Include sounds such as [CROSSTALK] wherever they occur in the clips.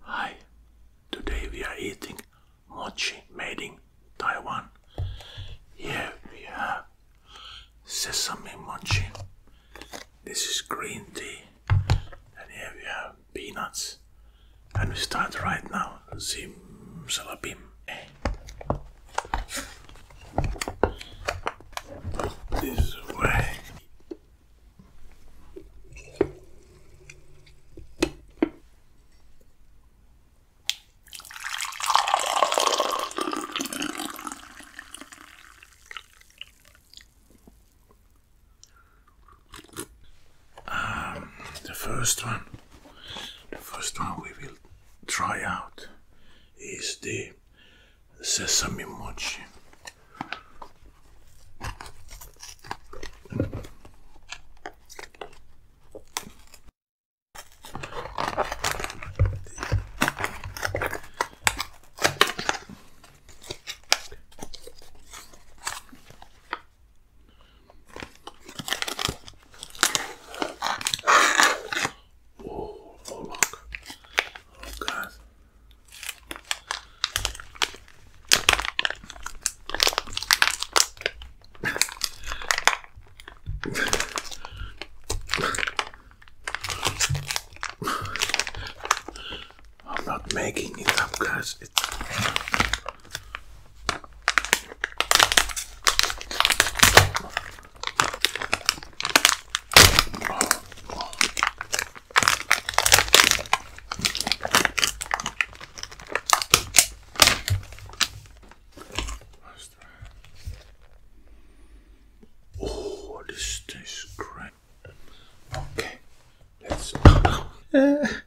Hi, today we are eating mochi made in Taiwan. Here we have sesame mochi. This is green tea. And here we have peanuts. And we start right now. Zim salabim. Eh, this way. Um, the first one, the first one we will try out is the sesame mochi. Oh, look. Oh god. [LAUGHS] I'm not making it up guys. Oh, this tastes great. Okay, let's. [LAUGHS]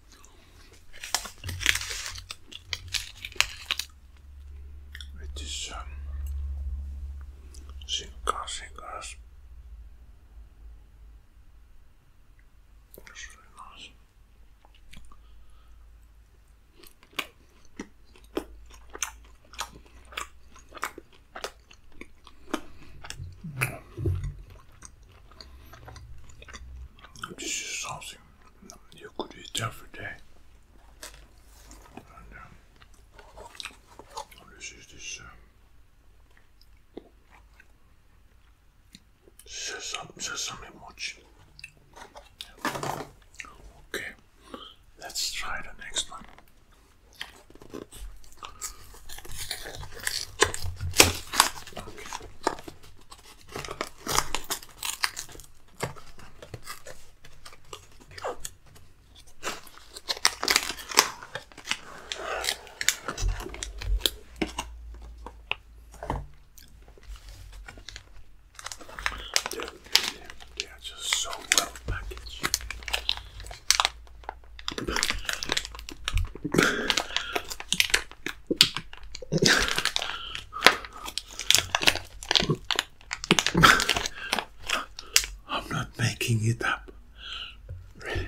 It is um, Shinkansen grass. It's really nice. This is something you could eat every day. Um, this is this um, sesame, sesame Okay, let's try the next one. They're, they're just so well packaged. I'm not making it up. Really.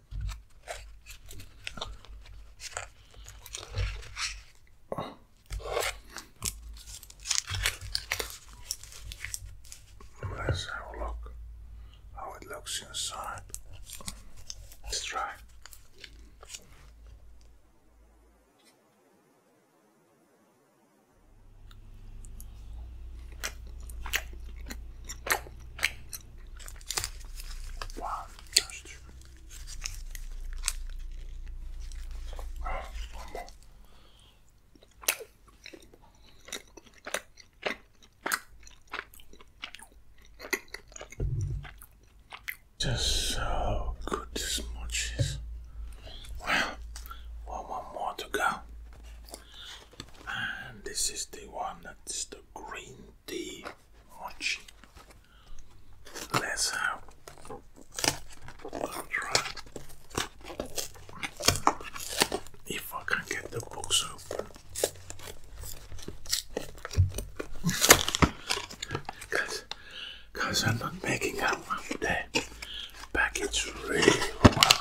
Let's have a look how it looks inside. Let's try. Wow, that's just so good this much is. one more to go. And this is the one that's the green tea Mochi. Let's have a try. If I can get the box open. Cause, cause I'm not making out one today. Package really well.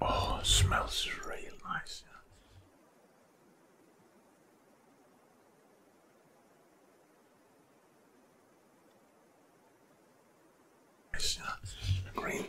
Oh, it smells real nice. It's not uh, green tea.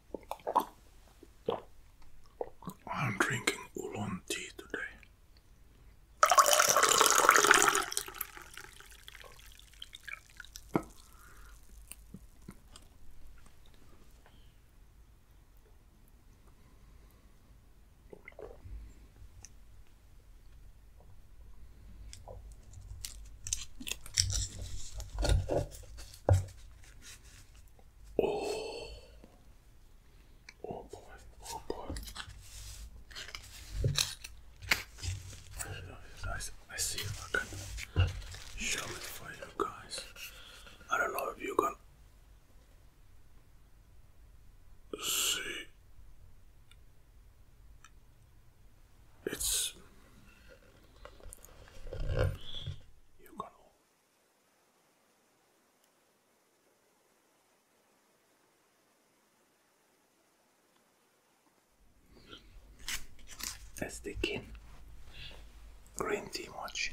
I'm drinking oolong tea today. Oh, oh boy, oh boy. I see if I can show me for you guys. I don't know if you can see it's. You got all. That's the kin. Green tea mochi.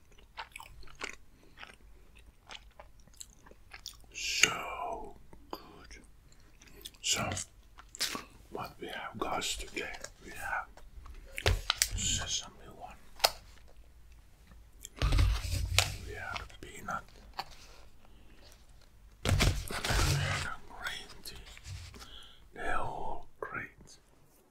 So good. So, what we have, got today we have sesame one, we have peanut, we have green tea. They're all great.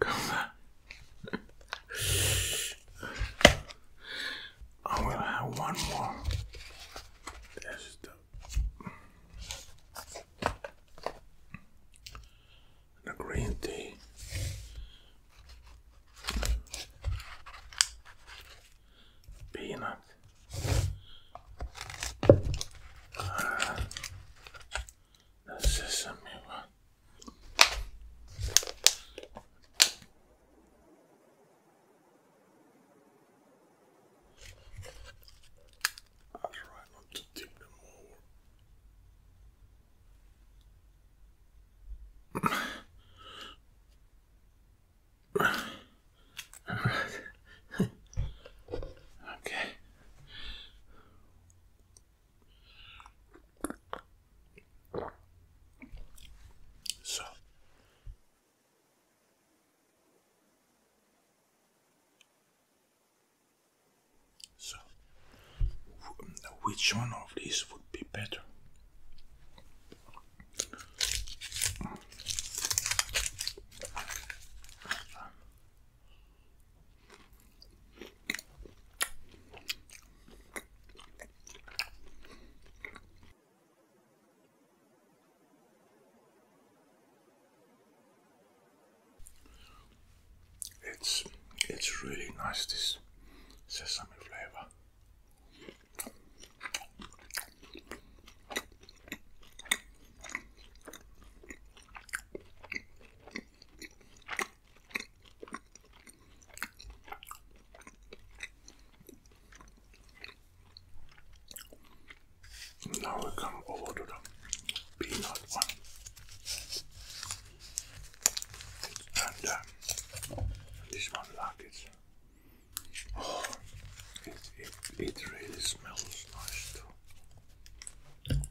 Come back. I will have one more. That's the, the green tea. Peanut the sesame one. I'll try not to tip them over. okay. So. So, which one of these would be better? It's it's really nice this sesame flavor. Now we come over to the peanut one. And uh, this one like it. Oh, it, it, it really smells nice too.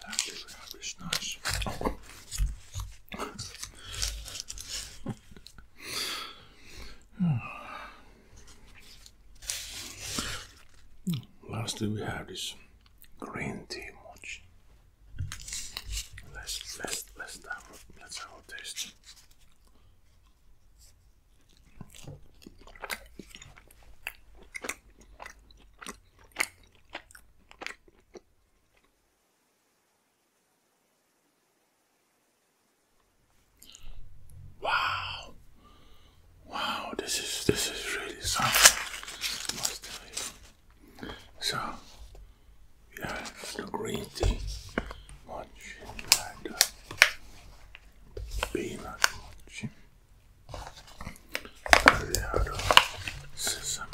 that Lastly, we have this green tea match. Let's let's let's have let's have a taste. Wow. Wow, this is this is really something. So yeah, it's the green tea. Much like uh, the peanut a sesame.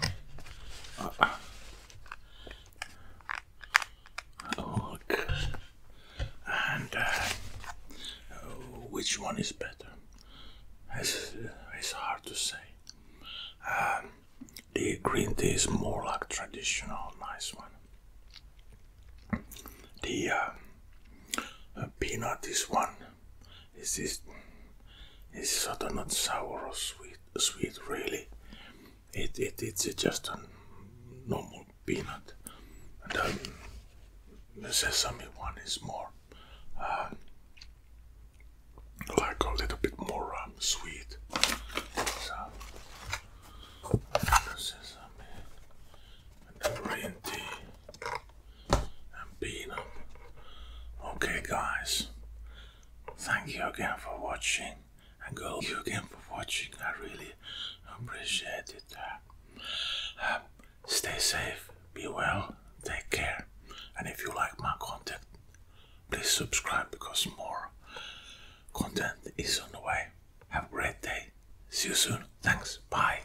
Look, and uh, oh, which one is better? It's, uh, hard to say. Um, the green tea is more like traditional, nice one. The uh, uh peanut is one it's just, it's sort of not sour or sweet? Sweet, really? It it it's just a normal peanut, and um, the sesame one is more uh, like a little bit more um, sweet. So, sesame and green tea. Okay, guys, thank you again for watching, and go you again for watching. I really appreciate it. Um, stay safe, be well, take care, and if you like my content, please subscribe because more content is on the way. Have a great day. See you soon. Thanks. Bye.